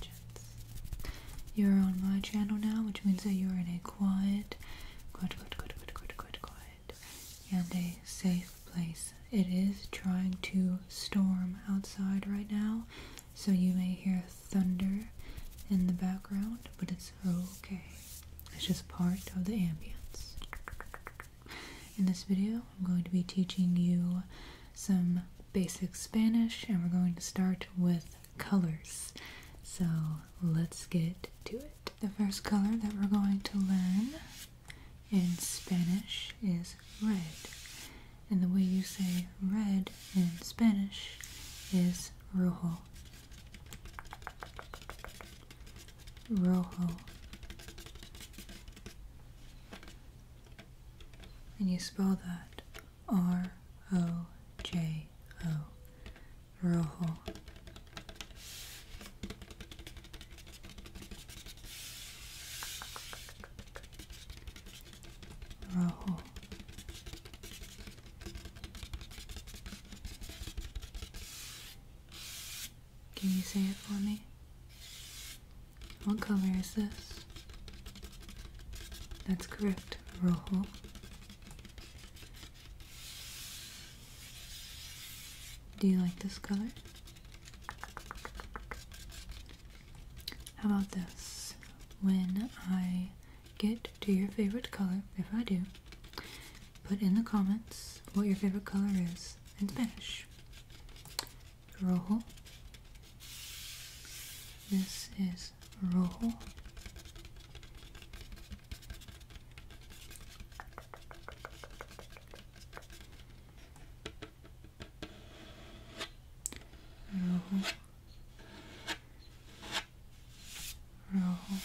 gents, You're on my channel now, which means that you're in a quiet, quiet, quiet, quiet, quiet, quiet, quiet, and a safe place. It is trying to storm outside right now, so you may hear thunder in the background, but it's okay. It's just part of the ambience. In this video, I'm going to be teaching you some basic Spanish and we're going to start with colors. So let's get to it. The first color that we're going to learn in Spanish is red. And the way you say red in Spanish is rojo. Rojo and you spell that R O J O Rojo. Rojo. Can you say it for me? What color is this? That's correct, rojo. Do you like this color? How about this? When I get to your favorite color, if I do, put in the comments what your favorite color is in Spanish rojo. This is rojo. Rojo. Rojo.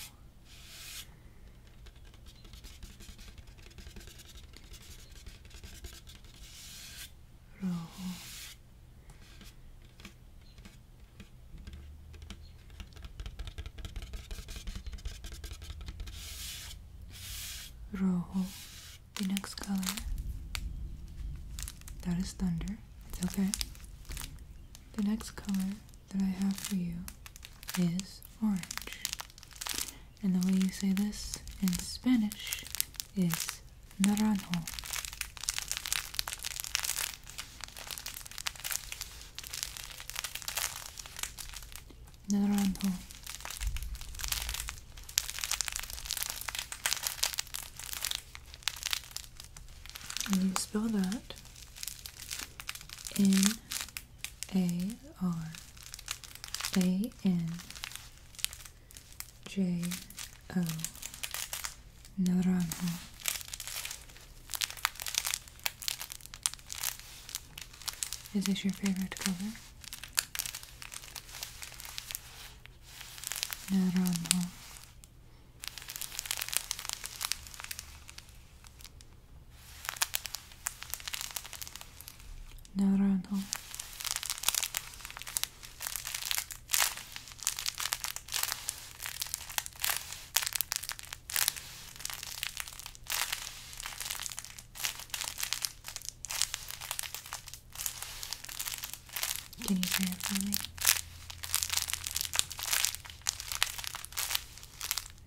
Rojo. Roll the next color. That is thunder. It's okay. The next color that I have for you is orange. And the way you say this in Spanish is naranjo naranjo and you spell that N A R A N J O Naranjo. Is this your favorite color? Naranjo. Naranjo. Can you try it for me?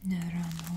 Another armhole.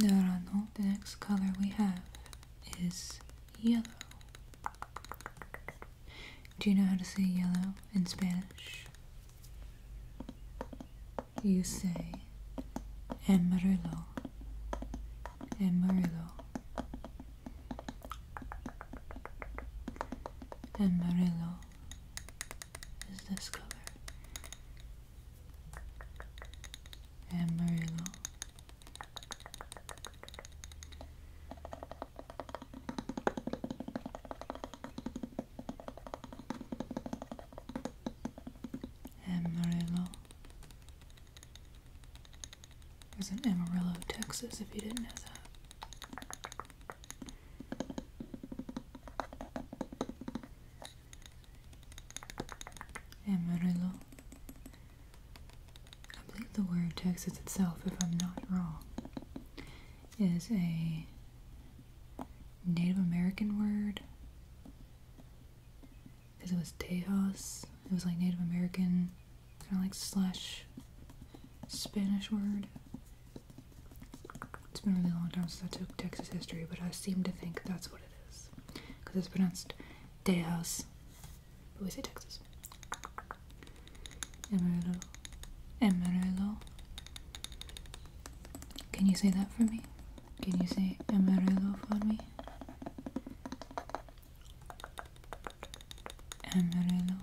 Now, the next color we have is yellow. Do you know how to say yellow in Spanish? You say amarillo and Murillo and Murillo is this color and Murillo it in Amarillo, Texas, if you didn't know that. Amarillo. I believe the word Texas itself, if I'm not wrong, is a Native American word because it was Tejas. It was like Native American, kind of like slash Spanish word. It's been a really long time since I took Texas history, but I seem to think that's what it is. Because it's pronounced Tejas, but we say Texas. Amarillo. Amarillo. Can you say that for me? Can you say Amarillo for me? Amarillo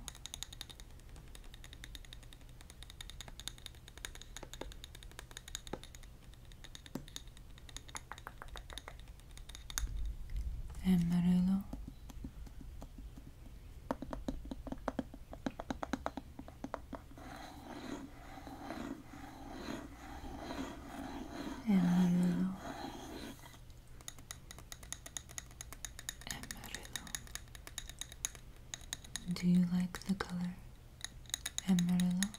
Amarillo Amarillo Amarillo. Do you like the color Amarillo?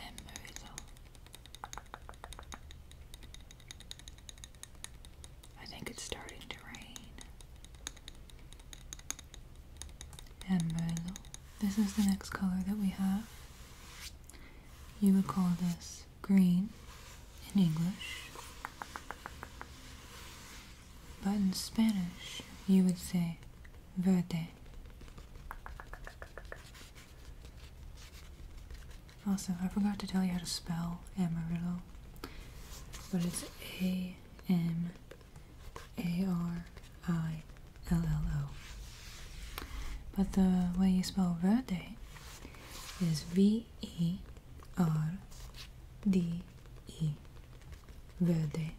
Amarillo. I think it's starting to rain. Amarillo. This is the next color that we have. You would call this green in English, but in Spanish you would say verde. Also, I forgot to tell you how to spell amarillo, but it's A M a R I L L O. But the way you spell verde is V E R D E. Verde.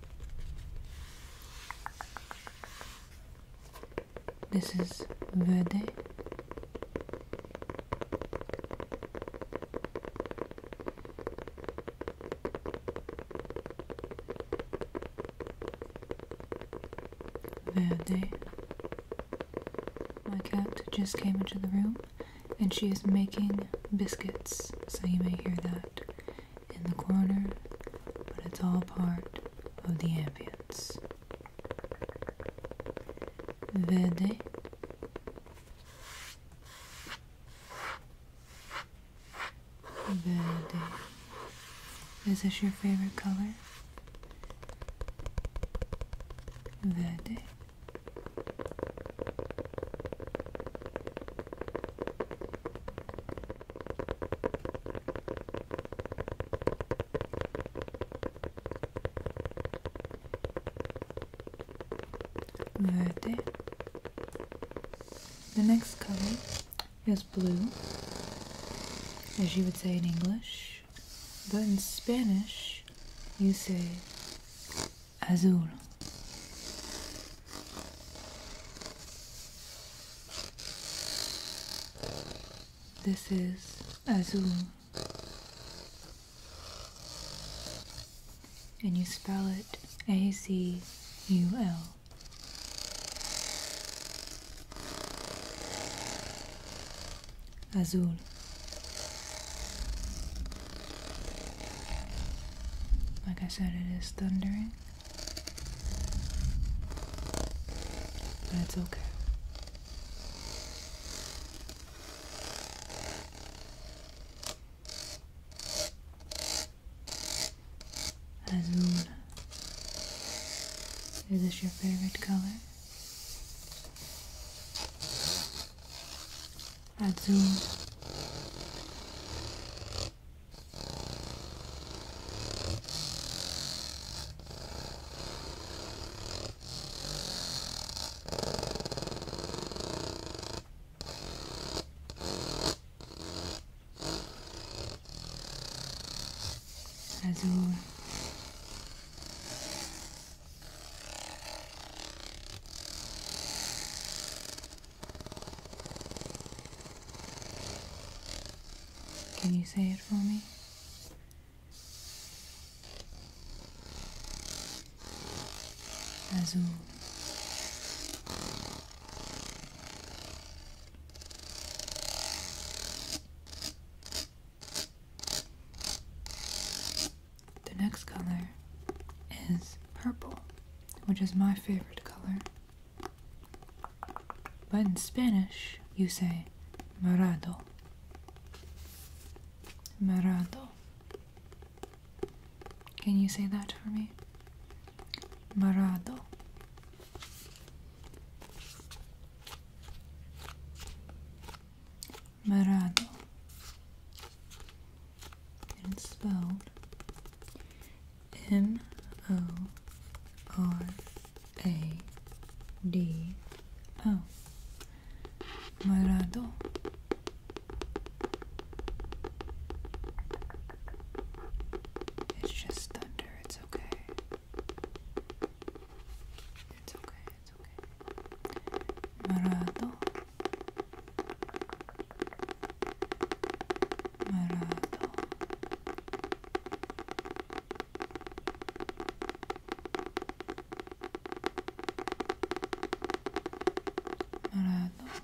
This is verde. Verde. My cat just came into the room and she is making biscuits, so you may hear that in the corner, but it's all part of the ambience. Verde. Verde. Is this your favorite color? Verde. Verde. The next color is blue, as you would say in English, but in Spanish you say azul. This is azul and you spell it A Z U L. Azul. Like I said, it is thundering. But it's okay. Azul. Is this your favorite color? Azul azul Can you say it for me? Azul the next color is purple, which is my favorite color. But in Spanish, you say "marado," marado. Can you say that for me? Marado. Marado. And it's spelled M O R A D O. Marado. It's just thunder, it's okay. It's okay, it's okay. Marado. Marado. Marado.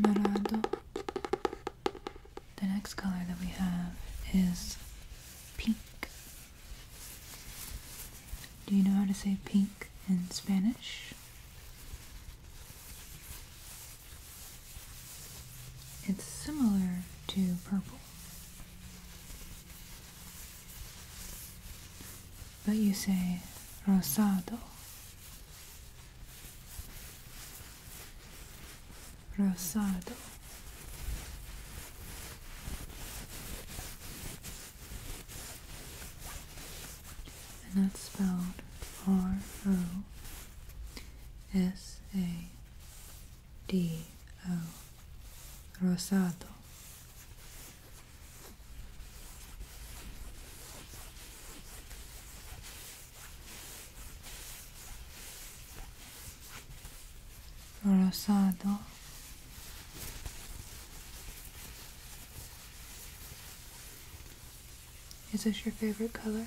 Dorado. The next color that we have is pink. Do you know how to say pink in Spanish? It's similar to purple. But you say rosado. Rosado. And that's spelled R O S A D. Rosado Rosado Is this your favorite color?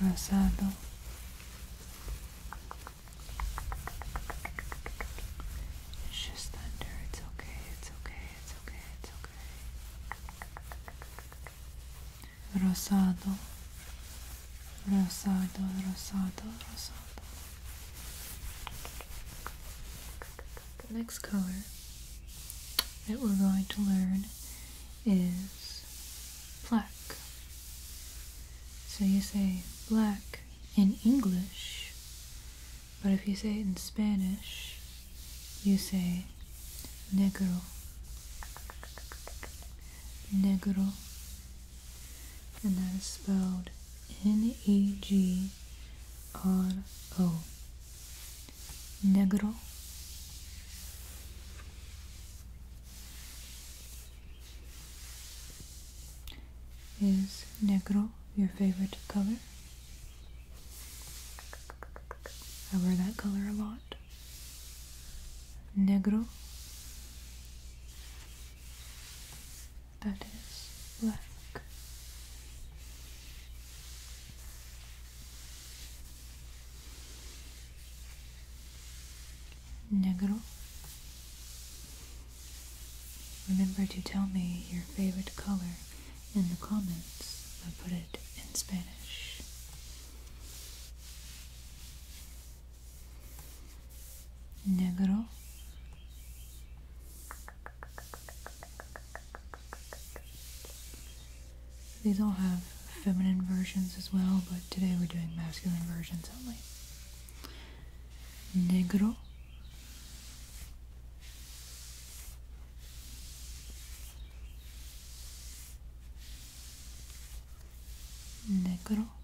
rosado it's just thunder it's okay it's okay it's okay it's okay rosado rosado rosado rosado the next color that we're going to learn is black. So you say black in English, but if you say it in Spanish, you say negro, negro, and that is spelled N E G R O. Negro. Is negro your favorite color? I wear that color a lot. Negro that is black. Negro. Remember to tell me your favorite color in the comments. I put it in Spanish negro these all have feminine versions as well but today we're doing masculine versions only negro negro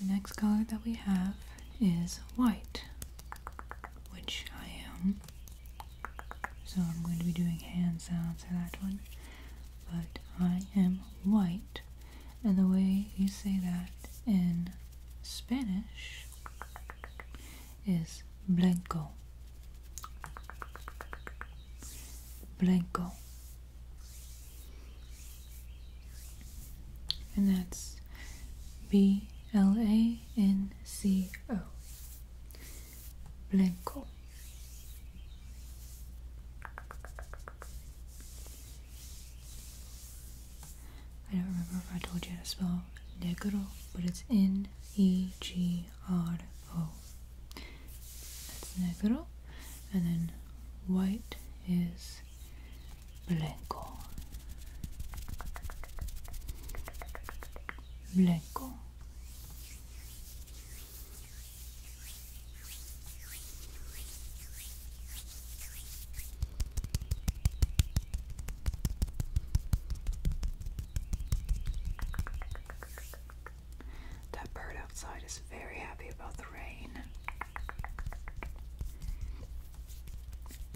The next color that we have is white, which I am. So I'm going to be doing hand sounds for that one. But I am white, and the way you say that in Spanish is blanco. Blanco. And that's B L A N C O. Blanco. I don't remember if I told you how to spell negro, but it's N E G R O. That's negro. And then white is Blanco, blanco. That bird outside is very happy about the rain.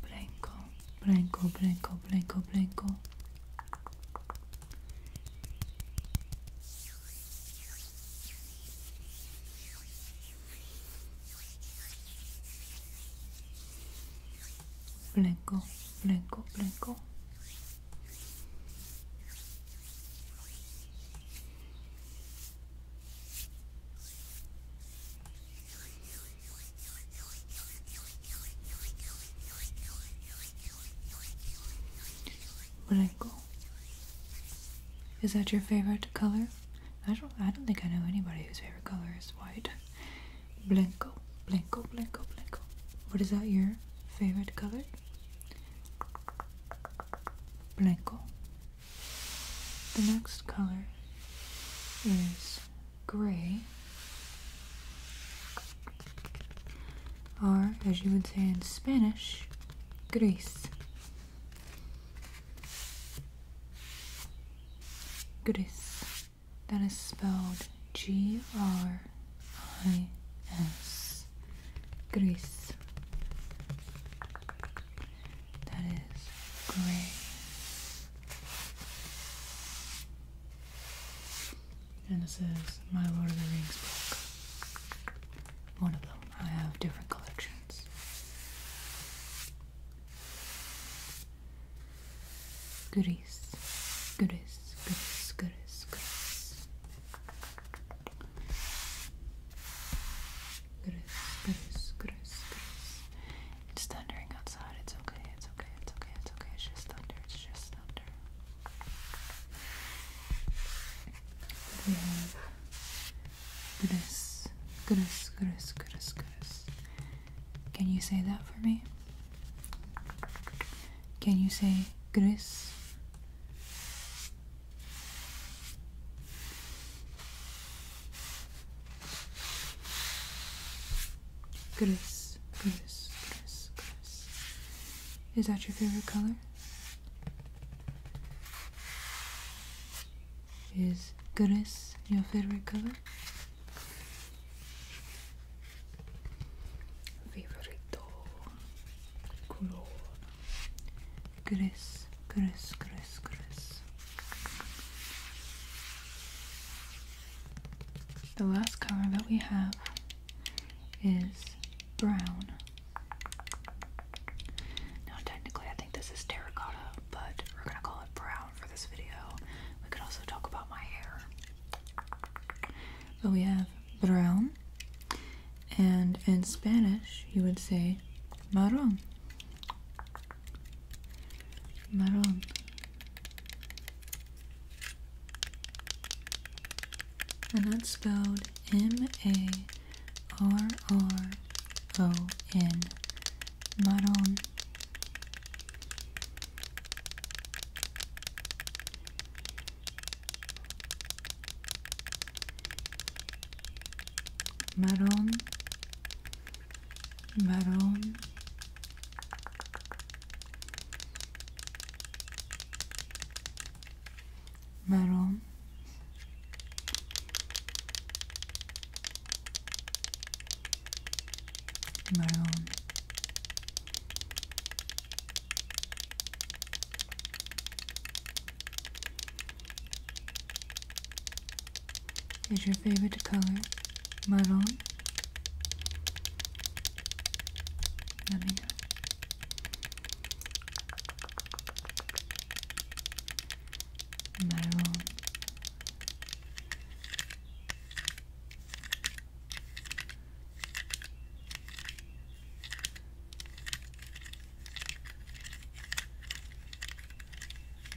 Blanco, blanco, blanco, blanco, blanco. Blanco, blanco, blanco. Blanco. Is that your favorite color? I don't I don't think I know anybody whose favorite color is white. Blanco, blanco, blanco, blanco. What is that your favorite color? Blanco, the next color is gray, or as you would say in Spanish, gris. Gris. That is spelled G R I S. Gris that is gray. And this is my Lord of the Rings book. One of them. I have different collections. Goodies. Goodies. Goodies. Goodies. Goodies. Gris, gris, gris, gris. It's thundering outside. It's okay. It's okay. It's okay. It's okay. It's just thunder. It's just thunder. We have gris, gris, gris, gris, gris. Can you say that for me? Can you say gris? Gris, gris, gris, gris. Is that your favorite color? Is gris your favorite color? Favorito color. Gris, gris, gris, gris. The last color that we have is brown. Now, technically, I think this is terracotta, but we're gonna call it brown for this video. We could also talk about my hair. But we have brown, and in Spanish, you would say marrón. Maron, And that's spelled M A R R O N. Marron marrón, marrón. Marrón, marrón, is your favorite color maroon? Let me know. Maroon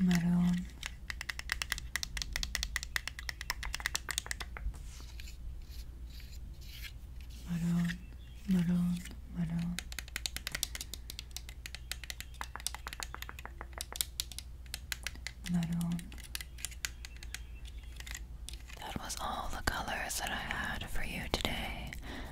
maroon maroon maroon maroon maroon that was all the colors that I had for you today